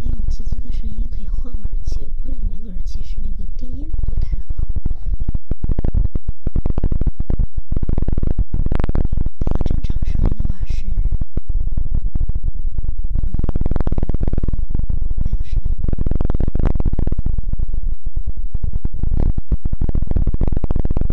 你有自己的声音可以换耳机，不过那个耳机是那个低音不太好。它的正常声音的话是，你好，你好，你好，你好，你好，你好。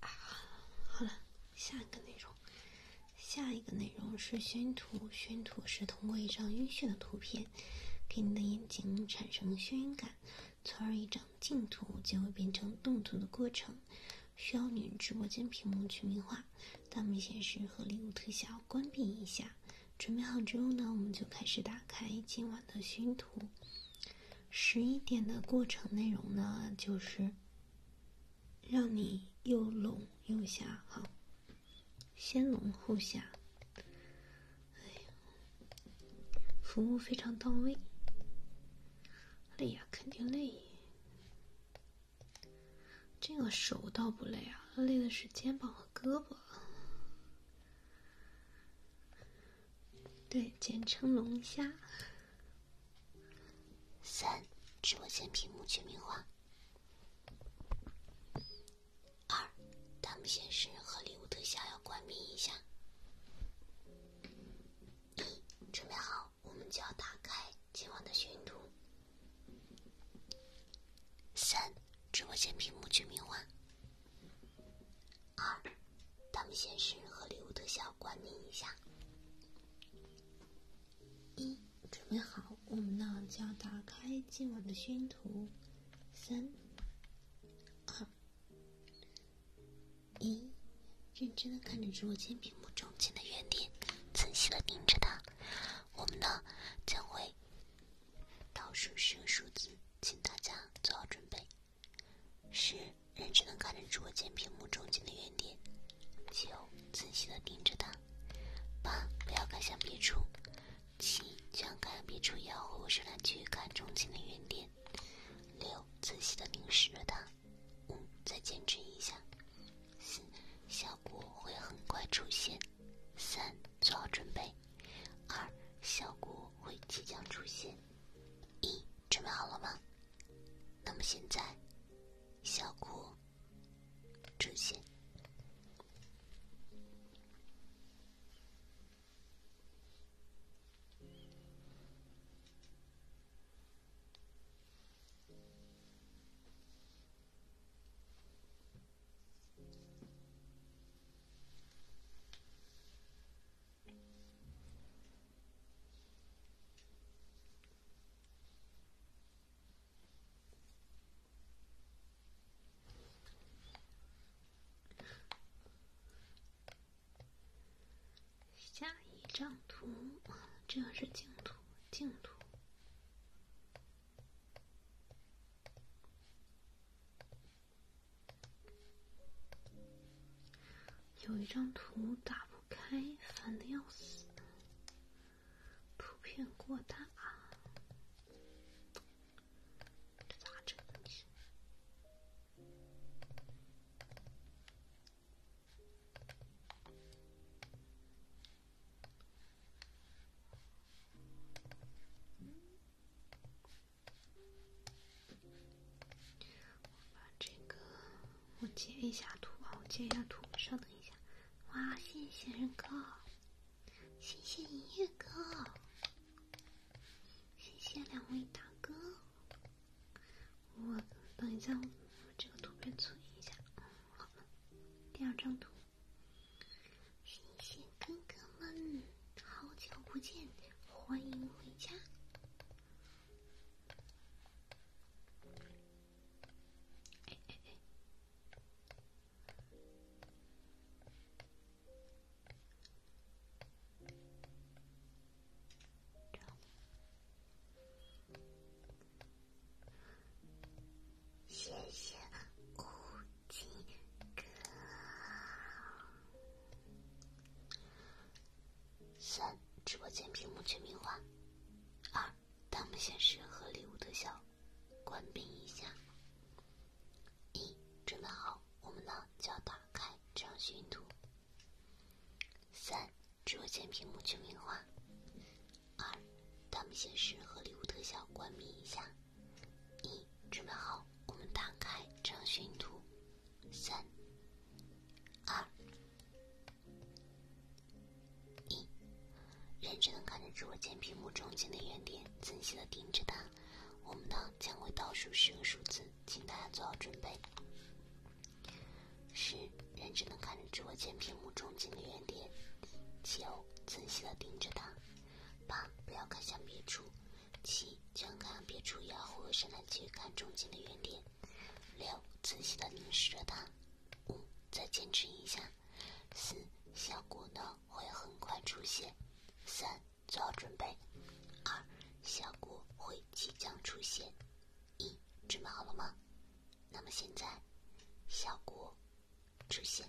好了，下一个内容，下一个内容是熏图。熏图是通过一张晕眩的图片，给你的眼睛产生眩晕感，从而一张静图就会变成动图的过程。需要你直播间屏幕去名画，大幕显示和礼物特效关闭一下。准备好之后呢，我们就开始打开今晚的熏图。十一点的过程内容呢，就是让你又拢又下哈，先拢后下。哎呀，服务非常到位，累呀，肯定累。这个手倒不累啊，累的是肩膀和胳膊。对，简称龙虾。三，直播间屏幕全民化。二，弹幕显示和礼物特效要关闭一下。一，准备好，我们就要打开今晚的巡图。三，直播间屏幕全民化。二，咱们先是和礼物特效关联一下。一，准备好，我们呢就要打开今晚的宣图。三、二、一，认真的看着直播间屏幕中间的圆点，仔细的盯着它。我们呢将会倒数十个数字，请大家做好准备。十，认真的看着播间屏幕中间的圆点。九，仔细的盯着它。八，不要看向别处。七，就像看向别处一样，回过身来去看中间的圆点。六，仔细的凝视着它。五，再坚持一下。四，效果会很快出现。三，做好准备。二，效果会即将出现。一，准备好了吗？那么现在，效果出现。下一张图这是净土，净土。有一张图打不开，烦的要死，图片过大，我把这个，我截一下图啊！我截一下图，稍等一下。哇！谢谢日哥，谢谢音乐哥，谢谢两位大哥。我等一下，我这个图片存一下。嗯，好了，第二张图。谢谢哥哥们。好久不见，欢迎回家。谢谢。几个？三，直播间屏幕全屏化。二，弹幕显示和礼物特效关闭一下。一，准备好，我们呢就要打开这张巡图。三，直播间屏幕全屏化。二，弹幕显示和礼物特效关闭一下。一，准备好，我们打开征询图。三、二、一，认真的看着直播间屏幕中间的圆点，仔细的盯着它。我们呢，将会倒数十个数字，请大家做好准备。十，认真的看着直播间屏幕中间的圆点，九，仔细的盯着它。八，不要看向别处。七，将看别处，要回身来去看中间的圆点。六，仔细地凝视着它。五，再坚持一下。四，效果呢会很快出现。三，做好准备。二，效果会即将出现。一，准备好了吗？那么现在，效果出现。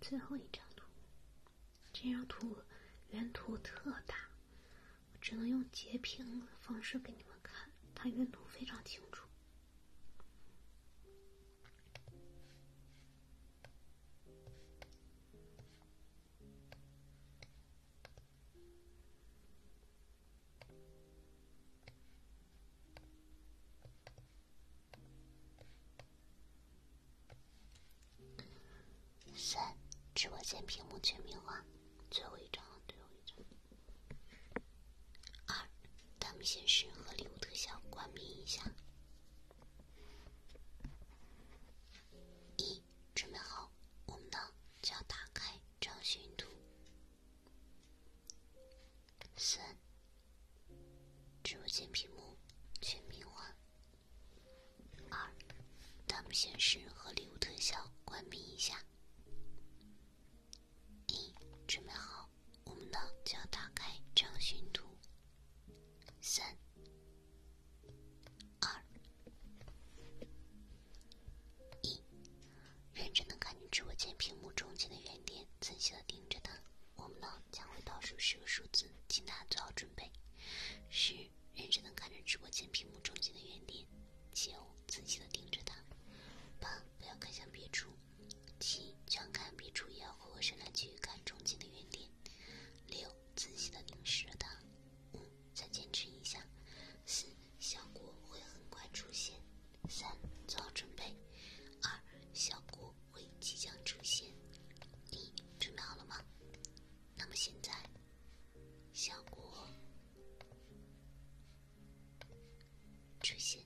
最后一张图，这张图原图特大，我只能用截屏的方式给你们看，它原图非常清楚。三，直播间屏幕全屏化，最后一张，最后一张。二，弹幕显示和礼物特效关闭一下。一，准备好，我们呢就要打开张巡图。三，直播间屏幕全屏化。二，弹幕显示和礼物特效关闭一下。一，准备好，我们呢就要打开查询图。三，二。一，认真的看着直播间屏幕中间的圆点，仔细的盯着它。我们呢，将会倒数十个数字，请大家做好准备。十，认真的看着直播间屏幕中间的圆点，九，仔细的盯着它。八，不要看向别处。七，就像看别处一样回过身来继续看中间的圆点。六，仔细的凝视着它。再坚持一下，四，效果会很快出现；三，做好准备；二，效果会即将出现；你准备好了吗？那么现在，效果出现。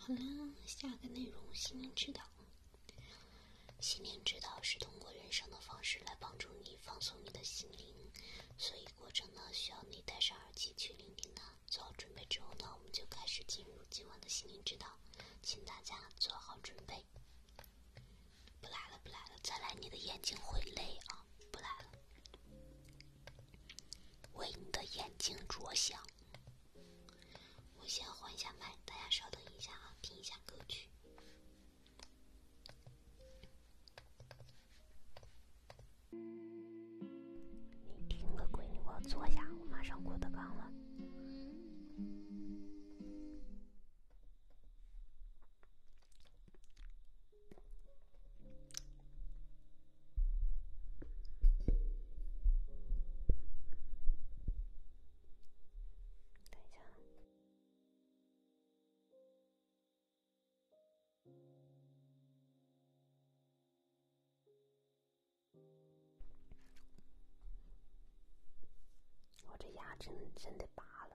好了，下个内容心灵指导。心灵指导是通过人生的方式来帮助你放松你的心灵，所以过程呢需要你戴上耳机去聆听它。做好准备之后呢，我们就开始进入今晚的心灵指导，请大家做好准备。不来了，不来了，再来你的眼睛会累啊！不来了，为你的眼睛着想。我先换一下麦，大家稍等一下啊，听一下歌曲。你听个闺女，我坐下，我马上郭德纲了。我这牙真真得拔了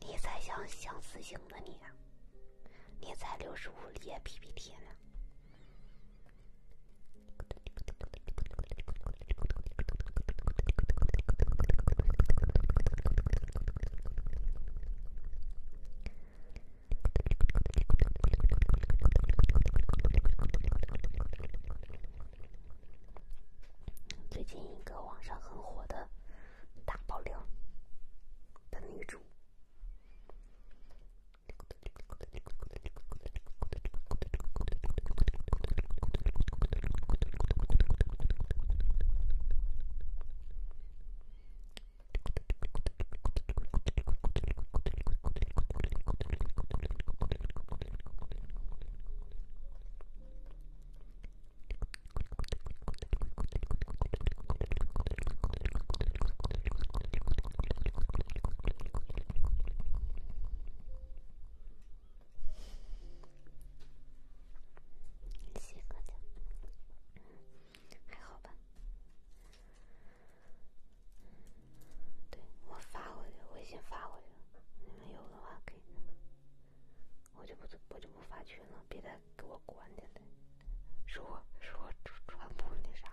你才像相似型呢，你，啊，你才六十五页 PPT 呢。最近一个网上很火的。大爆料！的女主。这个就还好吧。对我发过去，微信发过去你们有的话可以。我就不，我就不发群了，别再给我关是我说说传播那啥。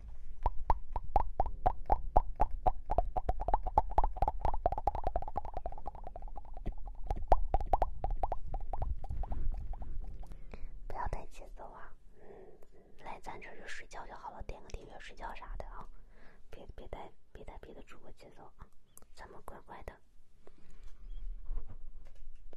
不要太急躁啊！来咱这就睡觉就好了，点个订阅睡觉啥的啊！别别带别带别的主播节奏啊！咱们乖乖的。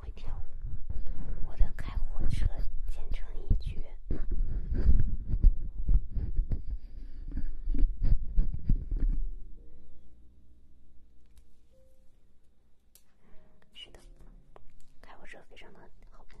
会跳舞，我的开火车简直一绝。是的，开火车非常的好看。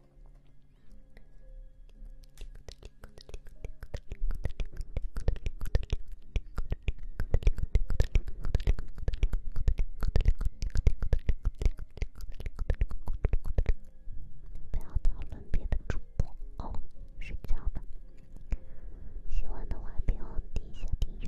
那我那我明天中午哦，睡觉吧。喜欢的话别忘点一下订阅。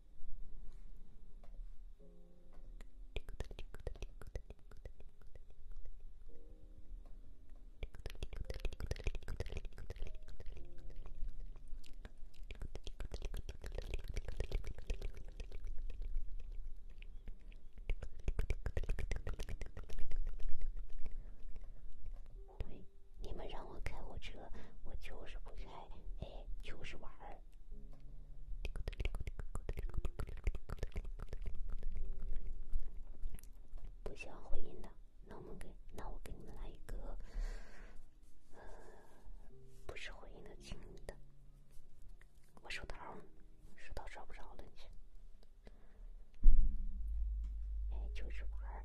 你们让我开火车，我就是不开，哎，就是玩。不喜欢回音的，那我们给那我给你们来一个，呃，不是回音的情侣的。我手套，手套找不着了，你去。哎，就是玩儿。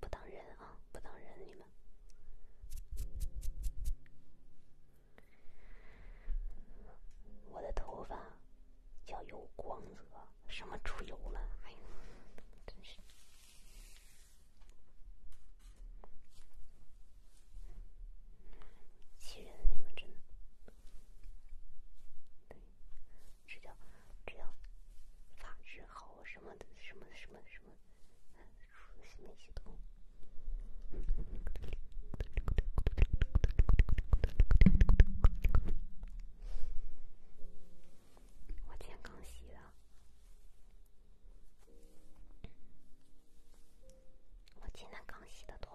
不当人啊，不当人！你们，我的头发，叫有光泽，什么猪油了？哎呀，真是气人！你们真。这叫这叫法治好什么的什么什么什么？什么东西都？我刚洗了。我今天刚洗的头。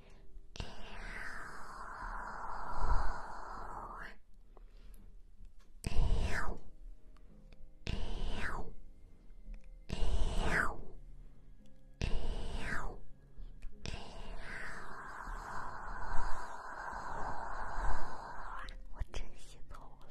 Ew. Ew. Ew. Ew. Ew. 我真心头了。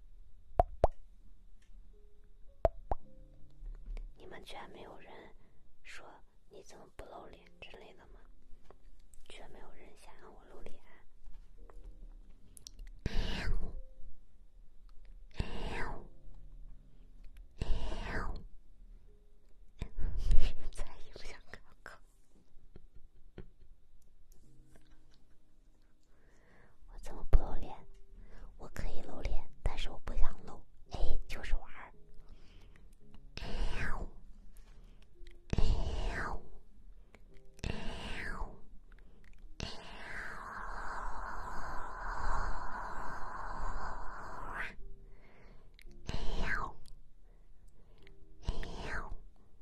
你们居然没有人说你怎么不露脸之类的吗？居然没有人想让我露脸。我怎么不露脸？我可以露脸，但是我不想露。哎，就是玩儿。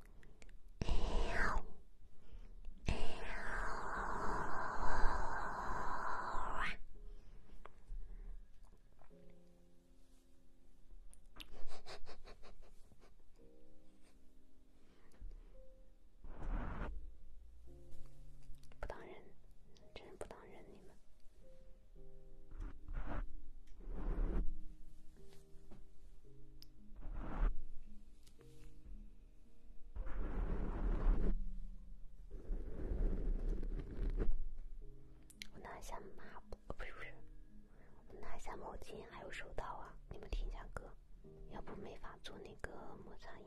喵喵！不当人，真是不当人，你们。我拿一下抹布，不是不是，我拿一下毛巾还有手套啊！你们听一下歌，要不没法做那个摩擦音。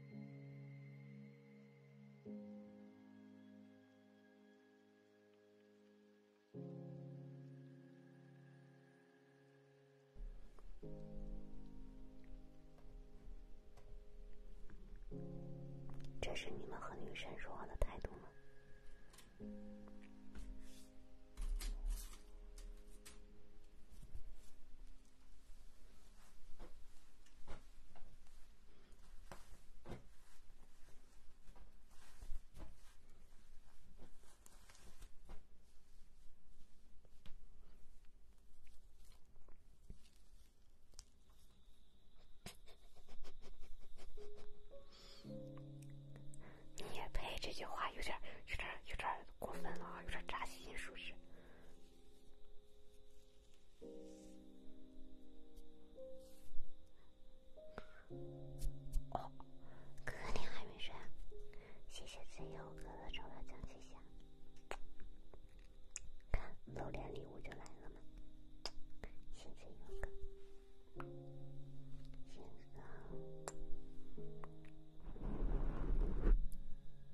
这是你们和女神说话的态度吗？你配这句话有点有点有点过分了啊！有点扎心，是不是？哥哥，你还没睡？谢谢自由哥哥抽的惊喜箱，看，露脸礼物就来了吗？现在有个，现在。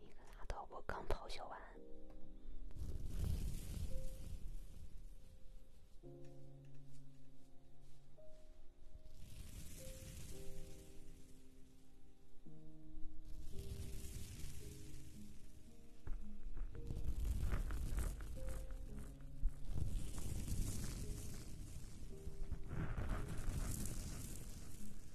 一个大头，我刚咆哮完。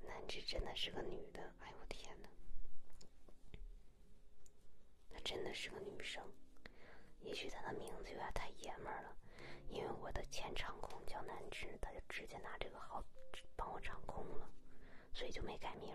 南芝真的是个女的，哎我天哪，她真的是个女生，也许她的名字有点太爷们儿了，因为我的前场控叫南芝，她就直接拿这个号帮我场控了，所以就没改名。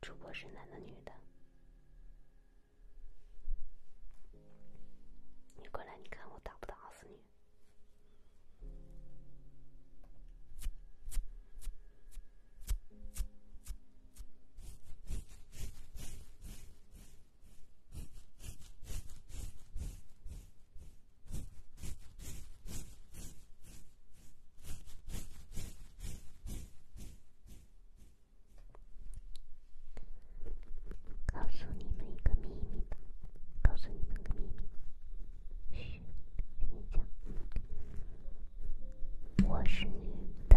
主播是男的女的？你过来，你看我打不打死你？告诉你们一个秘密，告诉你讲，我是女的。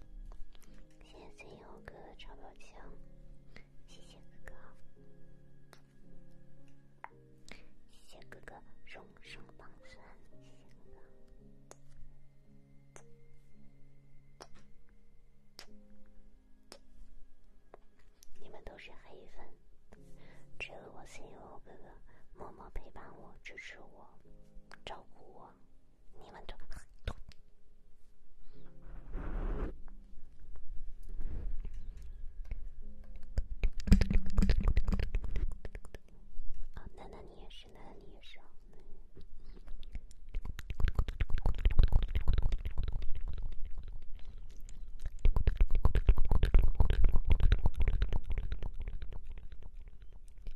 谢谢 C.O. 哥哥超表情，谢谢哥哥，谢谢哥哥荣升榜三，你们都是黑粉，只有我 C.O. e 哥哥默默陪伴我、支持我、照顾我。你们就啊，那那你也是，那你也是。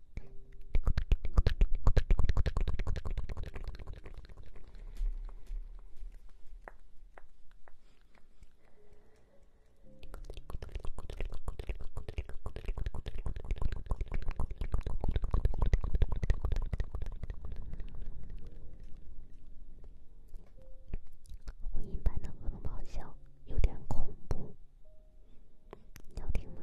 录音版的《恶魔咆哮》有点恐怖，要听吗？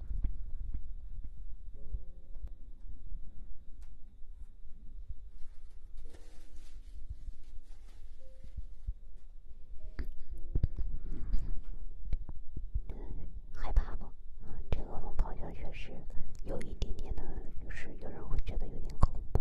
害怕不？这个龙咆哮确实有一点点的，就是有人会觉得有点恐怖。